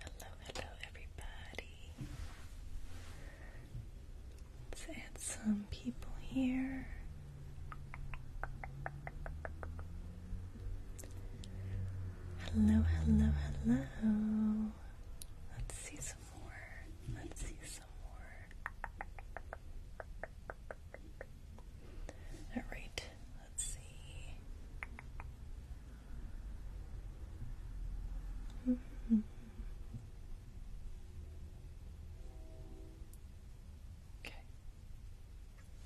Hello, hello, everybody. Let's add some people here. Hello, hello, hello. Let's see some more. Let's see Alright, let's see. Okay.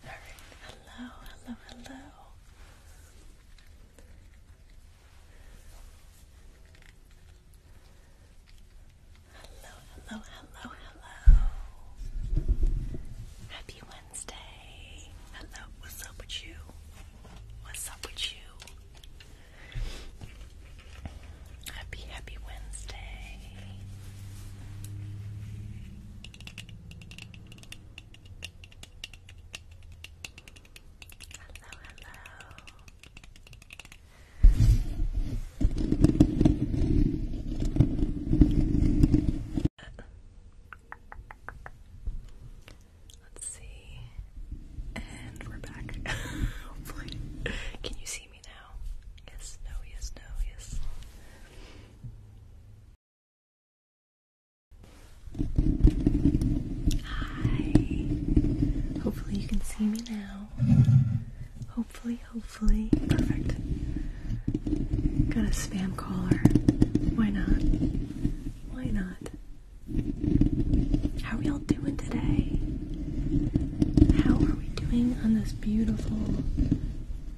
All right. Hello, hello, hello. Hello, hello, hello, hello. Happy Wednesday. Hello, what's up with you? What's up with you? Happy, happy Wednesday. Hello, hello. Let's see. And we're back. Hopefully. Can you see me now? Yes, no, yes, no, yes. Hi. Hopefully you can see me now. Hopefully, hopefully hopefully. Perfect. Got a spam caller. Why not? Why not? How are y'all doing today? How are we doing on this beautiful?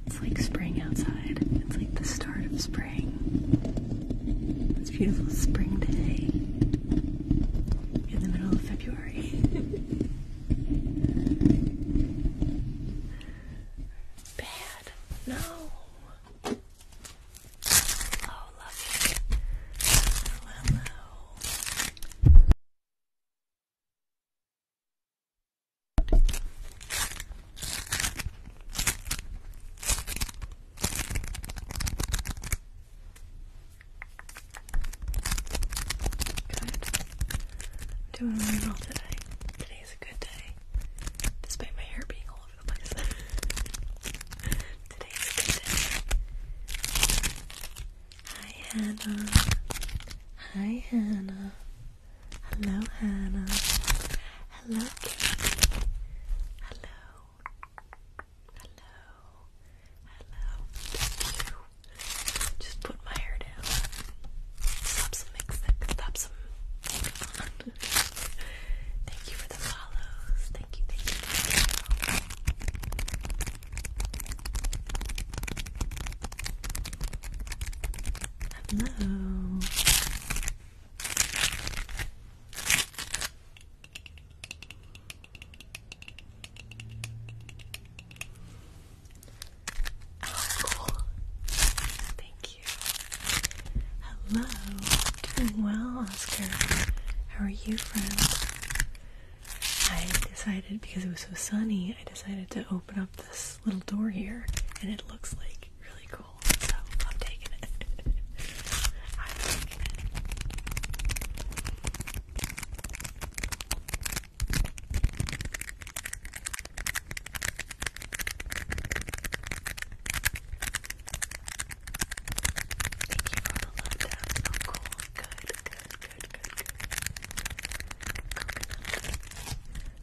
It's like spring outside. It's like the start of spring. It's beautiful spring day in the middle of February. Bad. No. Oh, love it. Hello, hello. I'm doing really well today. Today's a good day. Despite my hair being all over the place. Today's a good day. Hi Hannah. Hi Hannah. Hello Hannah. Hello Hello. Hello. Hello. Just put my hair down. Stop some mix. Stop some. thank you for the follows. Thank you. Hello. Oh, cool. Thank you. Hello. Doing well, Oscar. How are you, friend? I decided because it was so sunny, I decided to open up this little door here, and it looks like really cool. So I'm taking it. I'm taking it.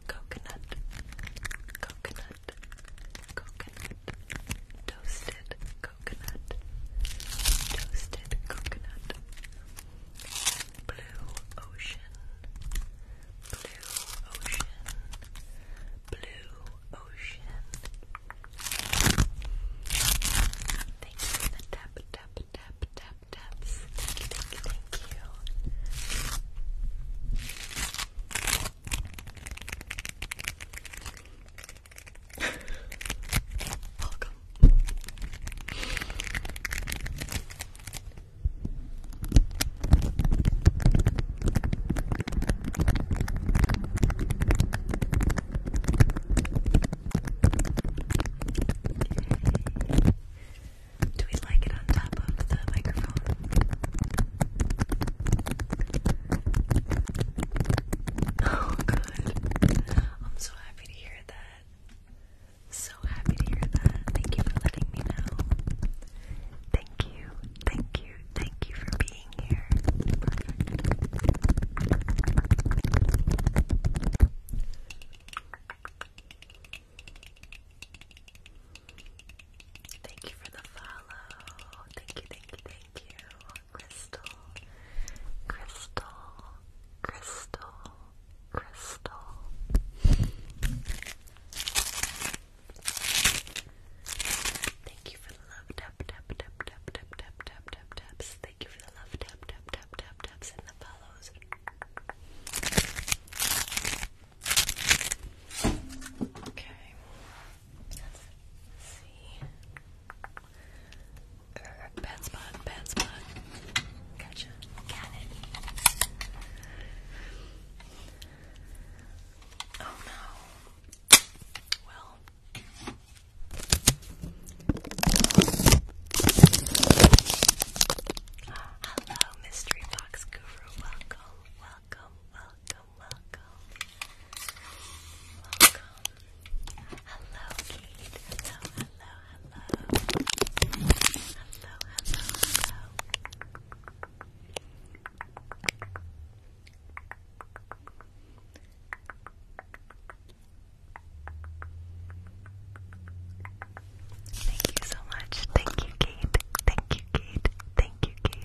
Coconut, coconut, coconut, toasted coconut, toasted coconut, Blue Ocean, Blue Ocean, Blue Ocean. Thank you tap, tap, tap, tap, taps. thank you. Welcome, do we like it on top of the microphone? Oh, good. I'm so happy to hear that. So happy to hear that. Thank you for letting me know. Thank you, thank you, thank you for being here. Thank you for the follow. Thank you, thank you, thank you. Crystal, Crystal, Crystal crystal. Thank you for the love tap tap tap tap tap tap taps. Thank you for the love tap tap tap taps and the follows. Okay. Let's see. Bad spot, bad spot. Gotcha. Got Oh no. Well. Hello, Mystery Box Guru. Welcome, welcome, welcome, welcome. Welcome. Hello, Kate hello. Hello, hello, hello. Thank you so much. Thank you, Kate. Thank you, Kate. Thank you, Kate.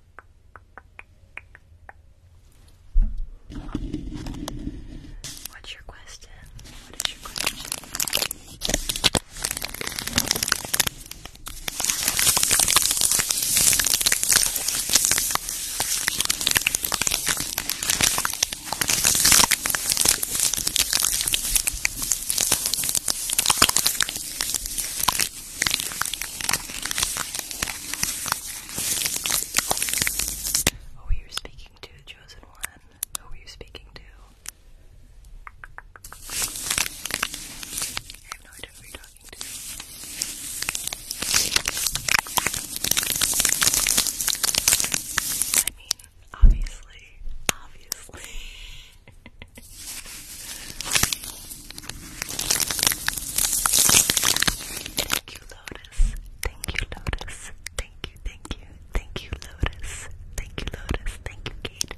What's your question? What is your question? Who were you speaking to, chosen one? Who were you speaking to? I have no idea who you're talking to. I mean, obviously, obviously. Thank you, Lotus. Thank you, Lotus. Thank you, thank you, thank you, Lotus. Thank you, Lotus. Thank you, Kate.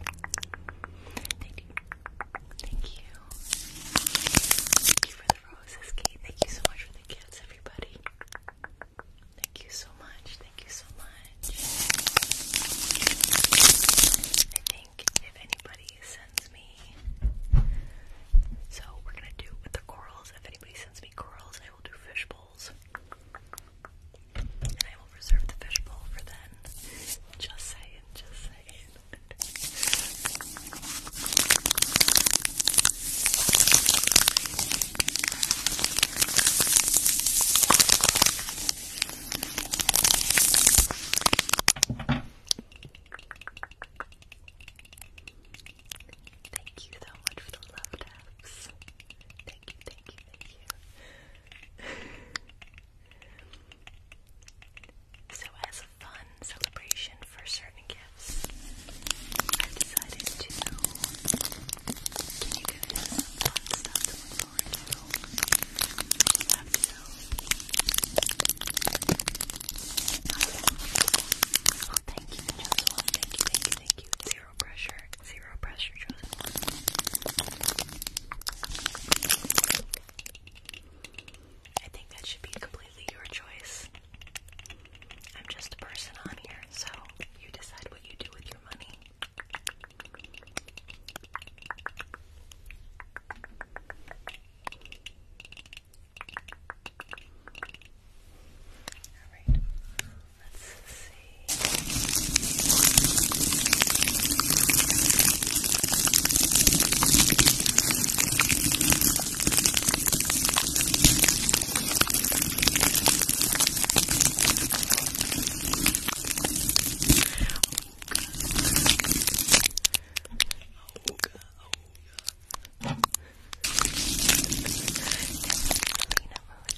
Thank you. Thank you. Thank you for the roses, Kate. Thank you so much for the gifts, everybody. Thank you so much. Thank you so much. I think if anybody sends me. So we're gonna do with the corals. If anybody sends me corals, I will do fish bowls. And I will reserve the fish bowl for then. Just saying, just saying. Thank you so much for the love taps. Thank you, thank you, thank you. so as a fun celebration for certain gifts, I decided to Oh, thank you, Chosen One. Thank you, thank you, thank you. Zero pressure, zero pressure, Chosen One. I think that should be completely your choice. I'm just a person on here, so you decide what you do with your money. Alright, let's see. Oh, oh, Lena Moon,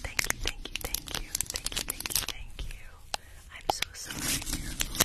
thank you, thank you, thank you, thank you, thank you, I'm so sorry You should be at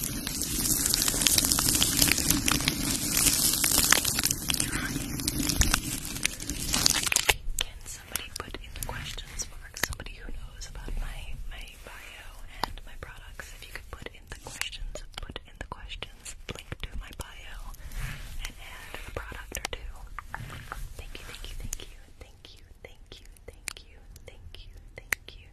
Can somebody put in the questions mark somebody who knows about my my bio and my products? If you could put in the questions, put in the questions, link to my bio, and add a product or two. Thank you, thank you, thank you, thank you, thank you, thank you, thank you, thank you, thank you.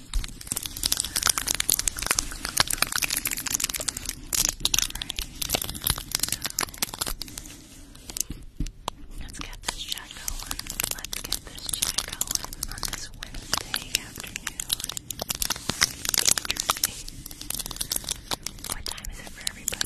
Let's get this chat going. Let's get this chat going on this Wednesday afternoon. What time is it for everybody?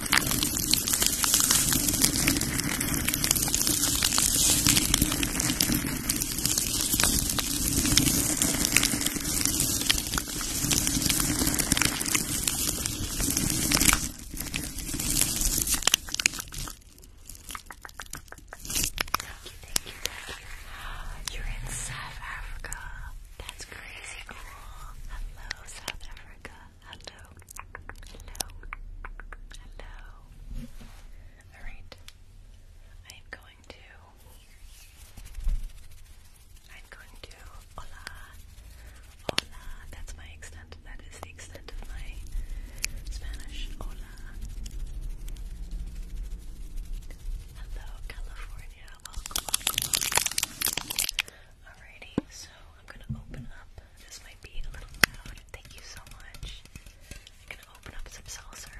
Thank you, thank you. You're in South Africa. That's crazy cool. Hello, South Africa hello, hello, hello. All right, I am going to. I'm going to hola, hola. That's my extent. That is the extent of my Spanish. Hola. Hello, California. Welcome, welcome, welcome. so I'm gonna open up this might be a little loud. Thank you so much. I'm gonna open up some salsa.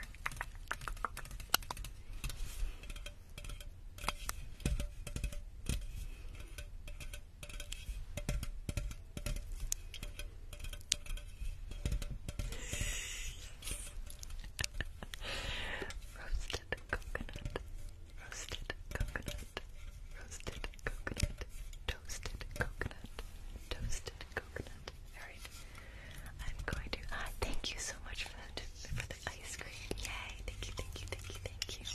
Roasted coconut roasted coconut, roasted coconut, toasted coconut, toasted coconut. Alright. I'm going to ah, thank you so much for the for the ice cream. Yay, thank you, thank you, thank you, thank you.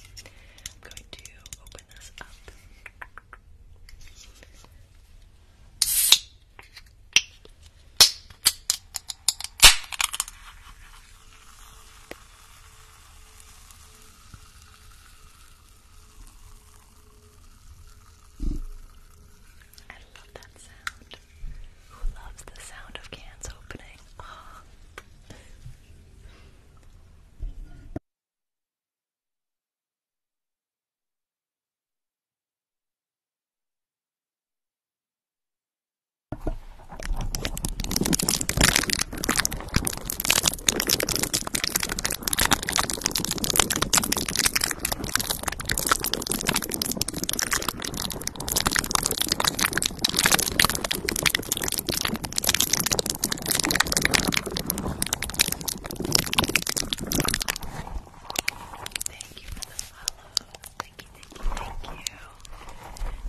I'm going to open this up. I love that sound. Who loves the sound of cans opening? Thank you for the follow. Thank you, thank you, thank you.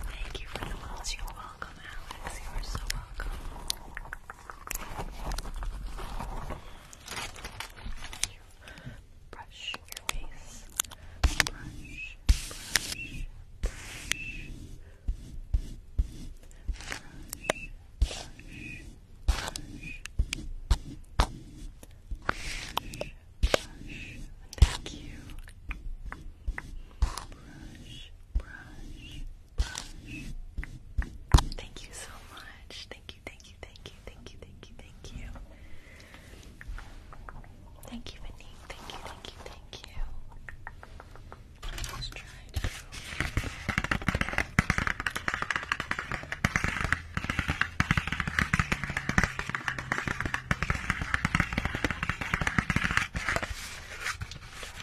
Thank you for the follows. You're welcome. Alex. You are so welcome. Brush your face. Brush, brush, brush. Brush, brush. Thank you. Thank you so much. Thank you, thank you, thank you, thank you, thank you, thank you. Thank you, Vinny. Thank you, thank you, thank you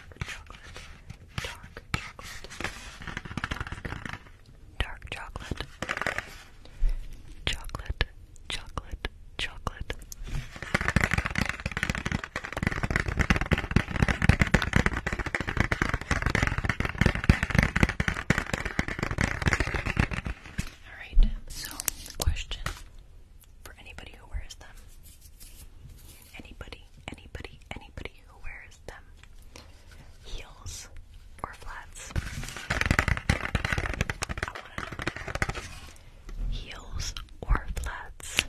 dark chocolate, dark chocolate, dark, dark chocolate, chocolate, chocolate, chocolate. Alright, so the question for anybody who wears them anybody, anybody, anybody who wears them heels or flats. Heels or flats.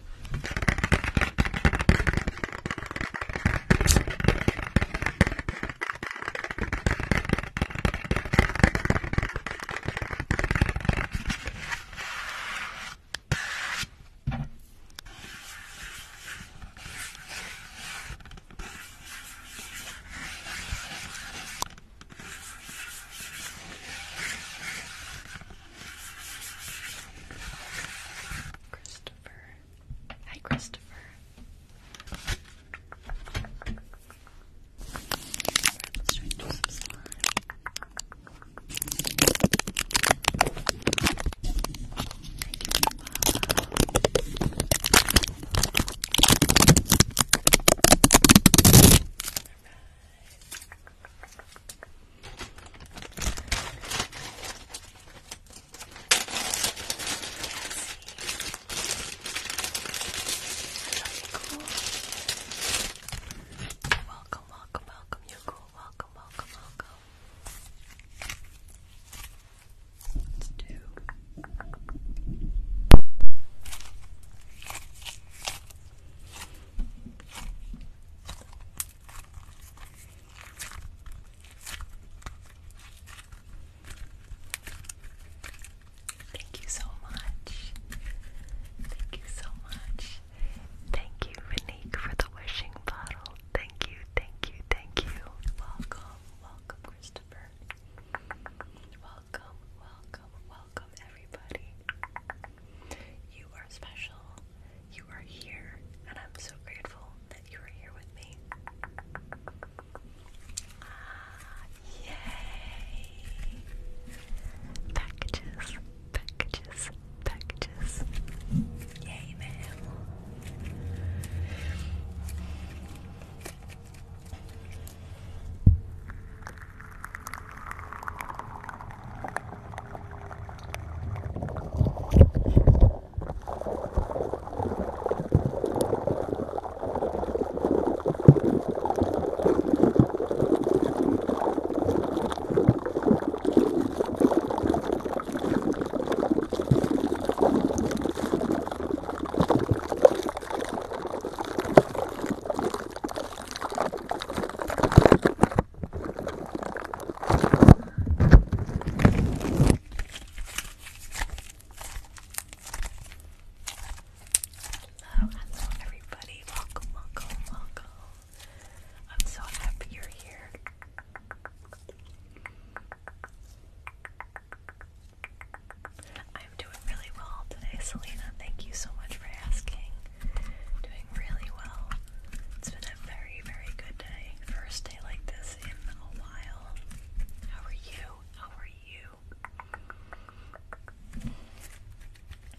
Christopher. Hi, Christopher. Right, let's try and do some slime. Welcome, welcome, welcome. You Google, welcome, welcome. Let's do. Thank you so much. Thank you so much. Thank you, Monique, for the wishing bottle. Thank you, thank you, thank you. Welcome, welcome, Christopher. Welcome, welcome, welcome, everybody. You are special. You are here, and I'm so grateful that you are here with me. Ah, yay! Packages, packages, packages. Yay, man. Hello, hello everybody. Welcome, welcome, welcome. I'm so happy you're here. I'm doing really well today, Selena. Thank you so much for asking. Doing really well. It's been a very, very good day. First day like this in a while. How are you? How are you?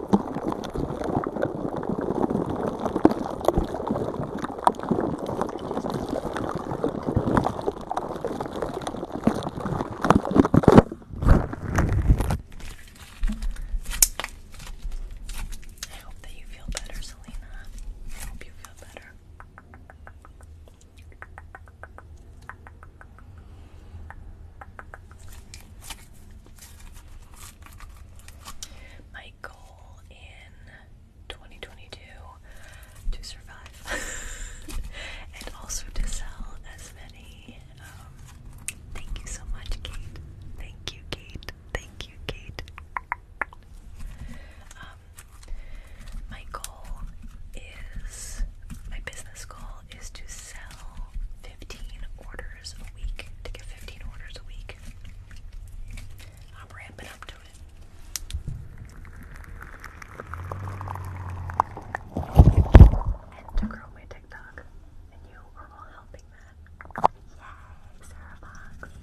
I hope that you feel better, Selena. I hope you feel better. My goal in 2022 to survive and also to sell as many. Um, thank you so much, Kate. Thank you, Kate. Thank you, Kate. my um, goal is, my business goal is to sell 15 orders orders a week, to get 15 orders a week. I'm ramping up to it. And to grow my TikTok. And you are all helping that. Yay, Sarah Fox.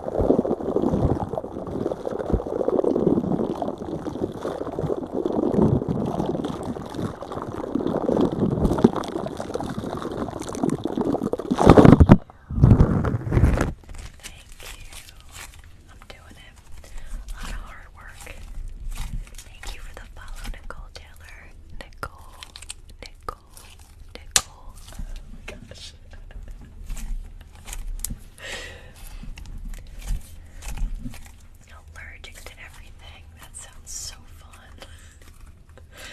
I'm doing it. A lot of hard work. Thank you for the follow, Nicole Taylor. Nicole, Nicole, Nicole. Oh my gosh gosh. Allergic everything. That sounds so fun.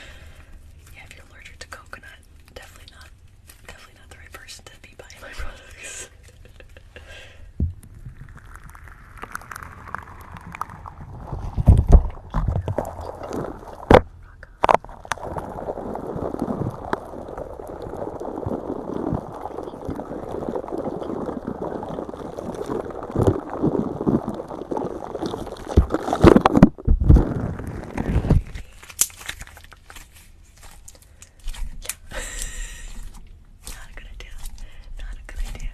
yeah, if you're to coconut, definitely not definitely not the right person to be buying my products. Not a good idea. Not a good idea.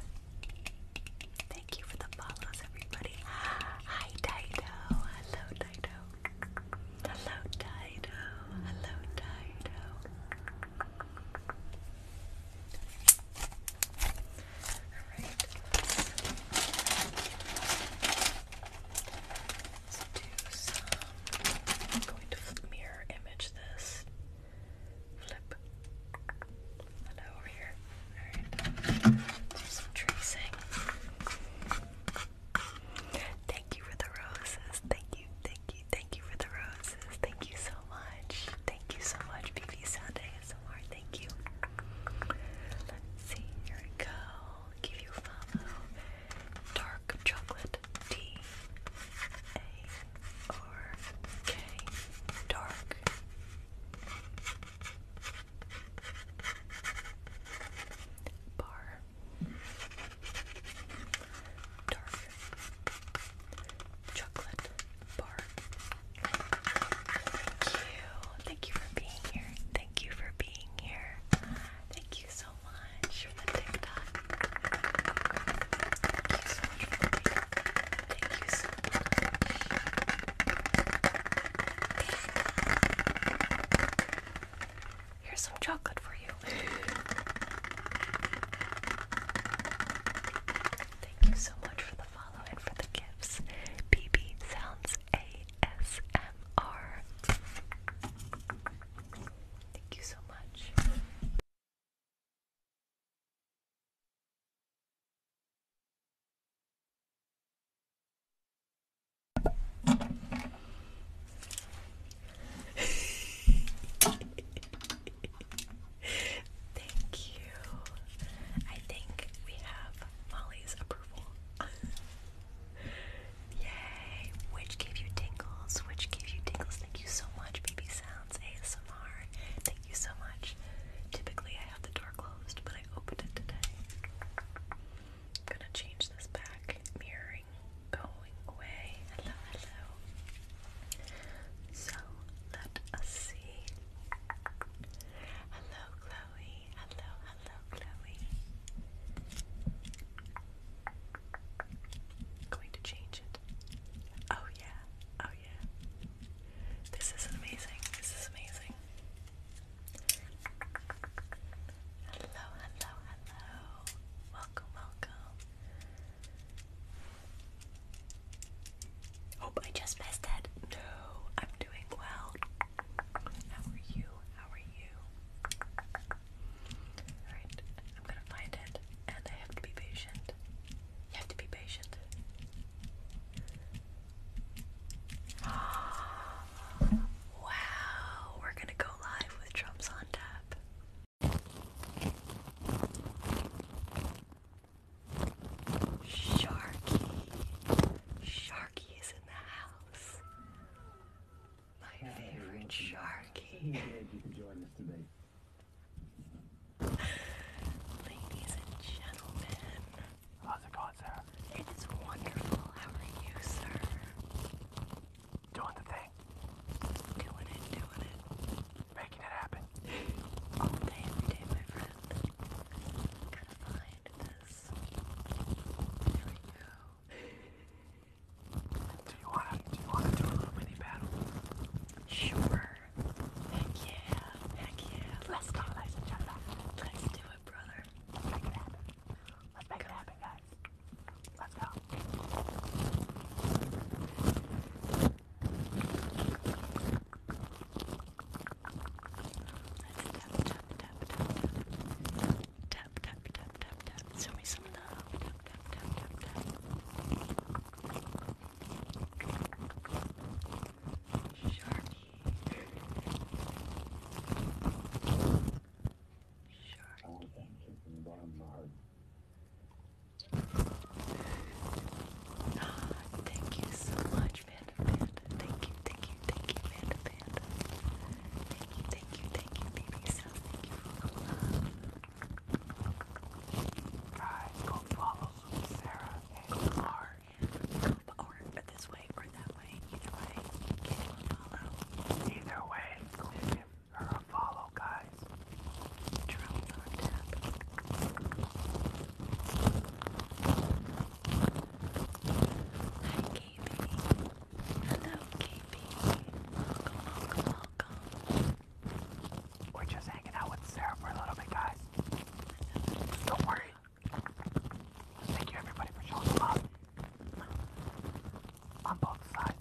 Thank you for the follows, everybody. Hi, Dido. Hello, Dido. Hello, Dido. Hello, Dido. All right. Let's do some. I'm going to mirror image this. Flip. Hello over here. All right. some tracing. Thank you for the roses. Thank you, thank you, thank you for the roses. Thank you so much. Thank you so much, BB Sound ASMR. Thank you. Let's see, here we go. Give you follow. Dark chocolate D A R K. Dark. Bar dark chocolate bar. Thank you. Thank you for being here. Thank you for being here. Thank you so much for the TikTok. Thank you so much Thank you so much. Here's some chocolate for you. Thank you so much for the follow for the gifts. BB Sounds ASMR. Thank you so much. Thank you. I think we have Molly's approval. Yay! Which gave you tingles? Which gave you tingles? Thank you so much, Baby Sounds ASMR. Thank you so much. Typically, I have the door closed, but I opened it today. I'm gonna change this back mirror going away. Hello, hello. So let us see. Hello, Chloe. Hello, hello, Chloe. Going to change it. Oh yeah. Oh yeah. This is amazing. This is amazing. Hello, hello, hello. Welcome, welcome. Hope I just messed it. No, I'm doing well. How are you? How are you? Alright, I'm gonna find it, and I have to be patient. You have to be patient. Ah. Wow, we're gonna go live with drums on tap. Sharky. Sharky is in the house. My favorite Sharky. Ladies and gentlemen. How's it going, It is wonderful. How are you, sir? doing the thing. Doing it, doing it. Making it happen. All day, every day, my friend. Gotta find this. There we go. do you wanna do you wanna do a little mini battle? Sure. Heck yeah. Heck yeah. Let's do it. Let's do it, brother. Let's make it happen, guys. Let's go. Let's tap, tap, tap, tap. Tap, tap, tap, tap, tap. Show me some love. Tap, tap, tap, tap, tap. Sharky. Thank you so much, Panda Panda. Thank you, thank you, thank you, Panda Panda. Thank you, thank you, thank you, baby self. Thank you for the love. Guys, go follow Sarah and Lar. Go or this way or that way. Either way, you follow. Either way, follow, guys. Hi, KB. Hello, KB. Welcome, welcome, welcome. We're just hanging out with Sarah for a little bit, guys. Don't worry. Thank you, everybody, for showing up on both sides.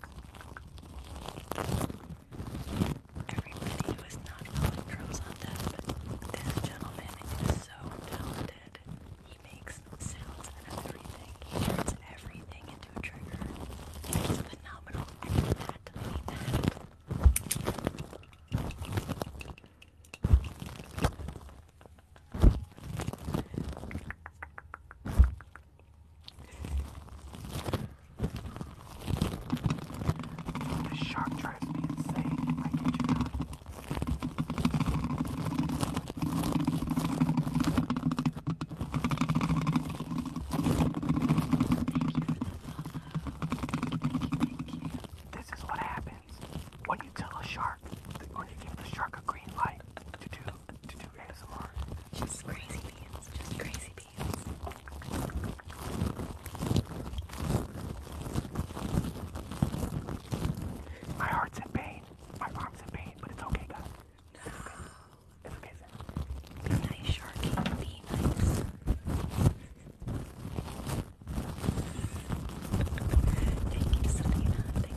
Everybody who is not following Trolls on that, gentleman is so talented. He makes sounds and everything. He turns everything into a trigger. It's phenomenal. that. that. The shark drives me insane. I get you not. This is what happens when you tell a shark, when you give the shark a green light to do just crazy beans. Just crazy beans. My heart's in pain. My arm's in pain, but it's okay, guys. It's It's okay, Be nice, Sharky. Be nice. Thank you, Selena. Thank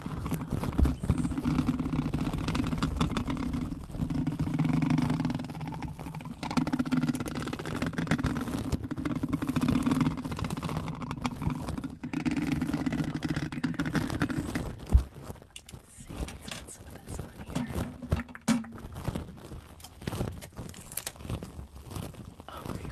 Let's see, let's put some of this on here. Oh my gosh.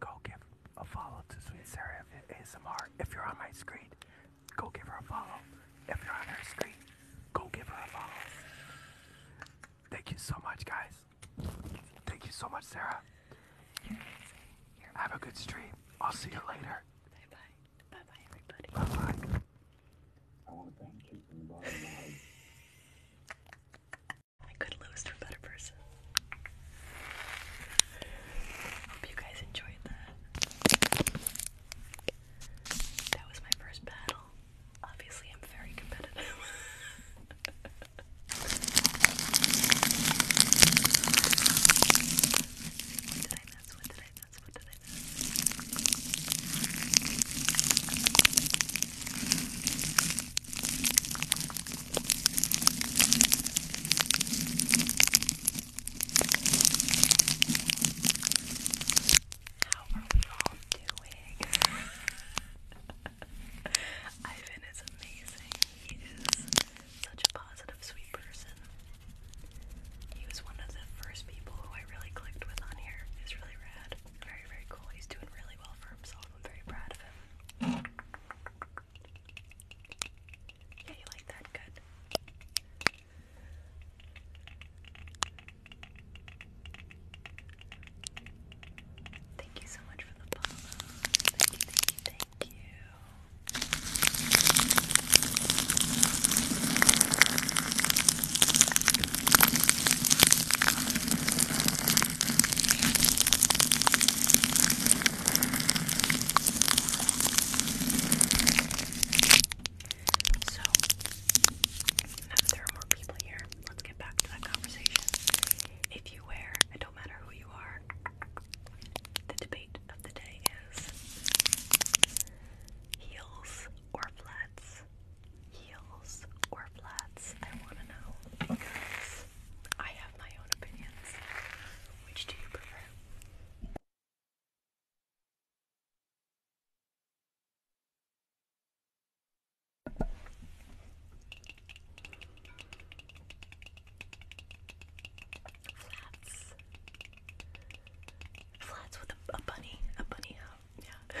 go give a follow to Sweet Sarah ASMR. If you're on my screen, go give her a follow. If you're on her screen, go give her a follow. Thank you so much, guys. Thank you so much, Sarah. Have a good stream. I'll see you later. Bye bye. Bye bye, everybody. Bye bye. I could lose to a better person. Hope you guys enjoyed that. That was my first battle. Obviously, I'm very competitive. what did I mess? What did I mess? What did I mess? How are we all doing? Ivan is amazing. He is such a positive, sweet person. He was one of the first people who I really clicked with on here. It's really rad. Very, very cool. He's doing really well for himself. I'm very proud of him. Yeah, you like that? Good. Thank you so much for the follow. Thank you, thank you, thank you. So, now that there are more people here, let's get back to that conversation. If you wear, it don't matter who you are, the debate of the day is heels or flats. Heels or flats? I want to know because I have my own opinions. Which do you prefer? Flats. Flats with a, a bunny. A bunny out. Yeah.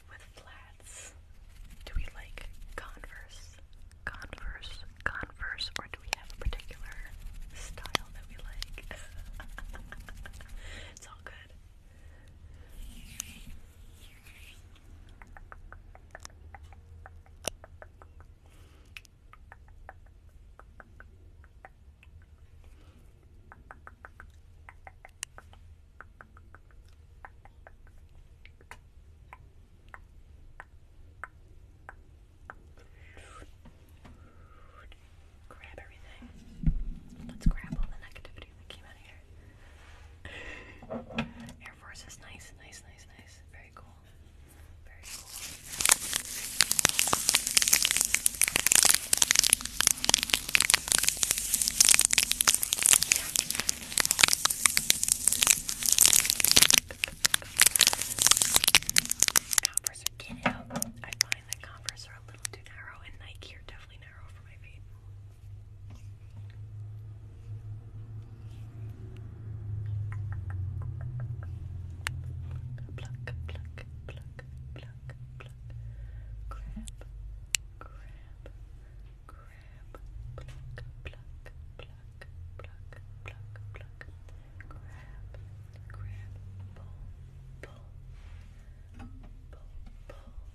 with flats. Do we like Converse, Converse, Converse, or do we have a particular style that we like? it's all good. Grab everything. Let's grab all the negativity that came out of here. Air Force is nice, nice, nice, nice. Very cool. Very cool. Converse are get out. I find that Converse are a little too narrow, and Nike are definitely narrow for my feet. Pluck, pluck, pluck, pluck, pluck. Grab, grab, grab, grab, pluck, pluck, pluck, pluck, pluck, pluck, grab, grab, pull, pull, pull, pull, pull, pull, pull, pluck,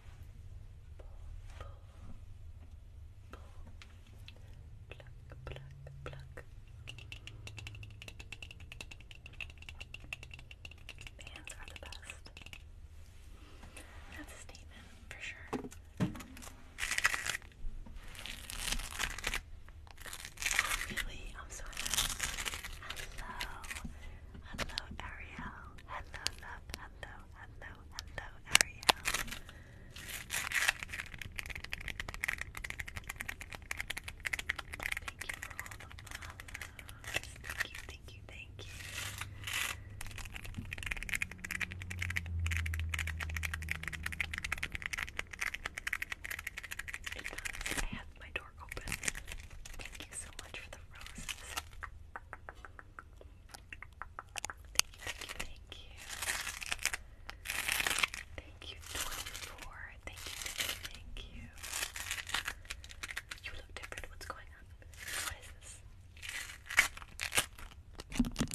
pluck, pluck. The hands are the best. That's a statement for sure. Oh, I'm so happy. Hello. Hello, Ariel. Hello, love. Hello, hello, hello, Ariel. Thank you for all the follows thank you, thank you. I have my door open. Thank you so much for the roses. Thank you, thank you, Thank you, thank you, thank you. You look different. What's going on? What is this? Longer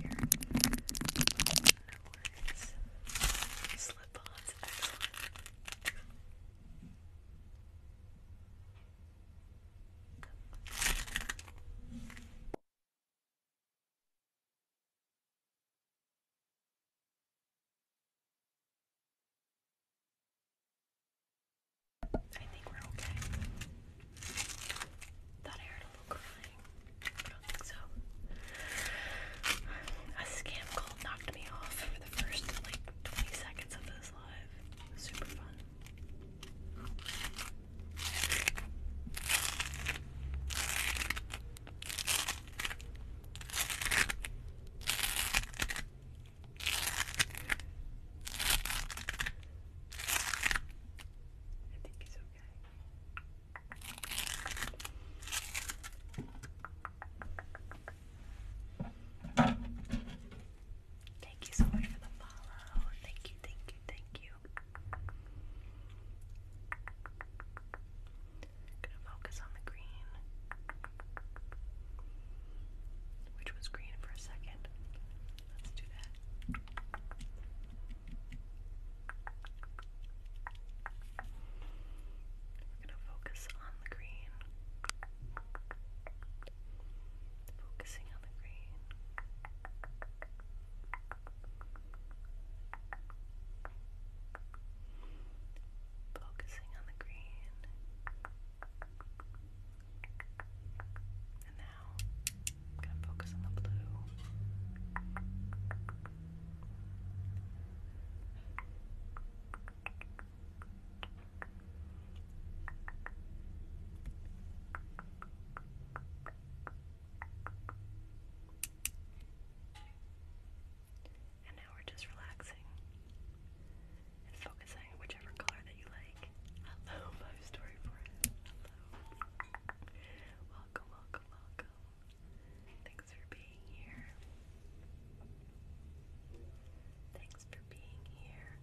here. Slip ons, I think we're okay. Thought I heard a little crying. don't think so. A scam call knocked me off for the first like 20 seconds of this live. Super fun. I think it's okay. Thank you so much for the follow. Thank you, thank you, thank you. Gonna focus on the green. Which was green for a second. Let's do that. gonna focus on the green. Focusing on the green. Focusing on the green. And now I'm going to focus on the blue. And now we're just relaxing and focusing on whichever color that you like. Hello, my story friend. Hello. Welcome, welcome, welcome. Thanks for being here. Thanks for being here.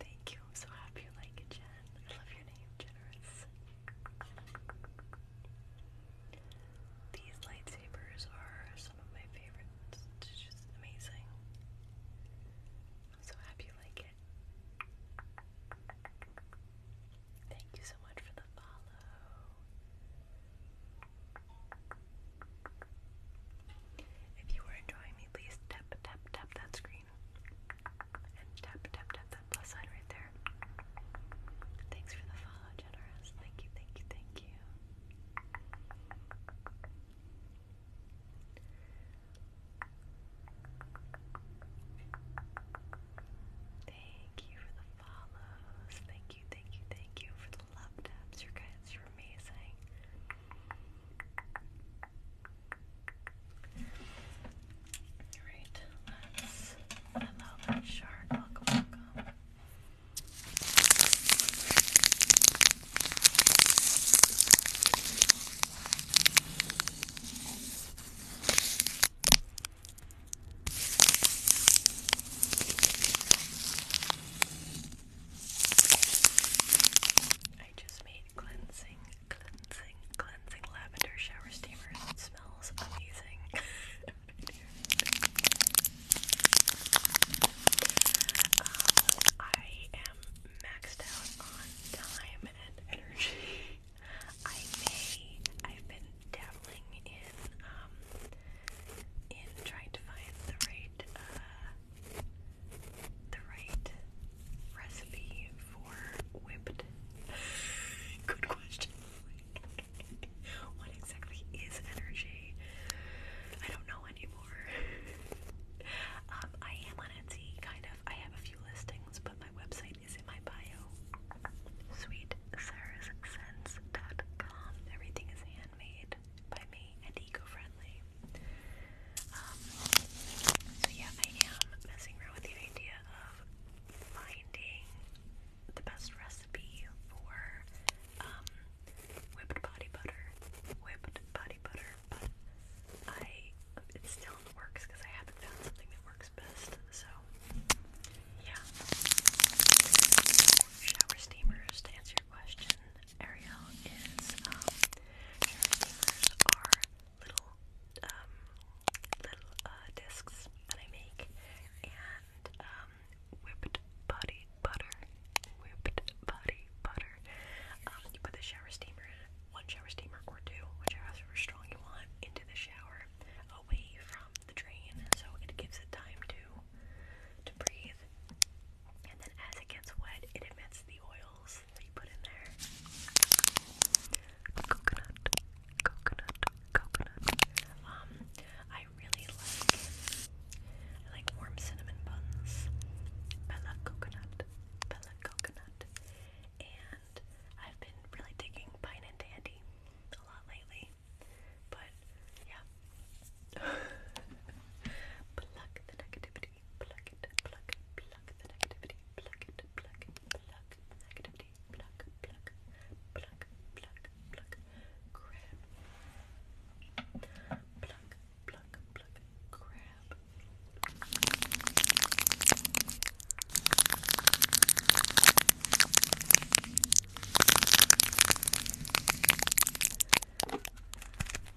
Thank you. I'm so happy you like it, Jen. I love your name, Generous. These lightsabers are some of my favorites. It's just amazing. so happy you like it. Thank you so much for the follow. If you were enjoying me, please tap, tap, tap that screen screen and tap, tap, tap that plus sign right there. Thanks for the follow, Generous. Thank you, thank you, thank you. Thank you for the follows. Thank you, thank you, thank you for the love taps. Your guys are amazing. Alright, let's allow that Welcome, welcome. I just made cleansing, cleansing, cleansing lavender shower steamer. It smells amazing. Um, I am maxed out on time and energy. I may. I've been dabbling in um, in trying to find the right uh, the right recipe for whipped? Good question. what exactly is energy? I don't know anymore. Um, I am on Etsy, kind of. I have a few listings, but my website is in my bio. Sweet Everything is handmade by me and eco-friendly. Um, so yeah, I am messing around with the idea of finding the best recipe for um, whipped body butter. Whipped body butter, but I it's still in the works because I haven't found something that works best. So yeah. Shower steamers to answer your question. Ariel is um, shower steamers are little um, little uh, discs that I make, and um, whipped body butter, whipped body butter. Um, you put the shower steamer one shower steamer or two, whichever strong you want, into the shower, away from the drain, so it gives it time to to breathe. And then as it gets wet, it emits the oils that you put in there. Coconut, coconut, coconut. Um, I really like I like warm cinnamon buns. Bella coconut, Bella coconut. And I've been really digging pine and dandy a lot lately. But yeah. Pluck the negativity pluck it, pluck, pluck the negativity, pluck it, pluck, pluck the negativity, pluck, pluck, pluck, pluck, pluck, grab, pluck, pluck, pluck, grab.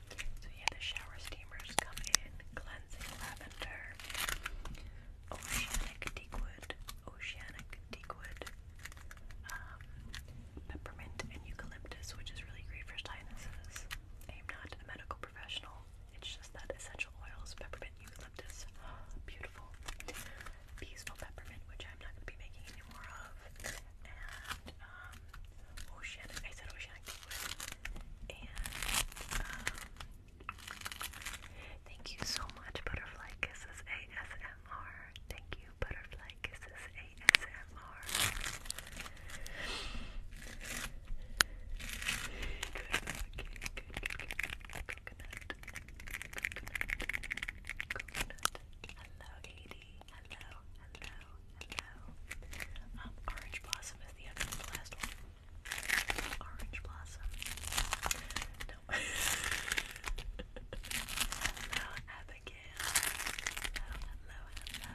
So yeah, the shower steamers come in cleansing lavender, oceanic teakwood, oceanic teakwood, um, peppermint and eucalyptus, which is really great for sinuses. I'm not a medical professional. It's just that essential oils, peppermint, eucalyptus, beautiful, peaceful peppermint, which I'm not going to be making any more of, um, oceanic, oh, I said oceanic and um, thank you so much Butterfly Kisses ASMR, thank you Butterfly Kisses ASMR good, good, good, coconut, coconut, coconut hello AD, Hello, hello, hello. Um, orange Blossom is the other the last one. Orange Blossom. hello, Abigail. Hello, hello, hello.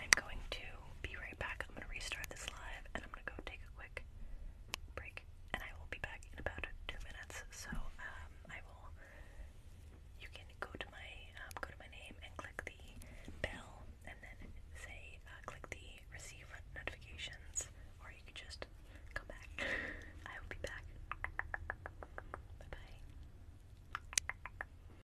I'm going to be right back. I'm going to restart this live and I'm going to go take a quick break. And I will be back in about two minutes. So um, I will. You can go to my um, go to my name and click the bell, and then say uh, click the receive notifications, or you can just come back. I will be back. Bye bye.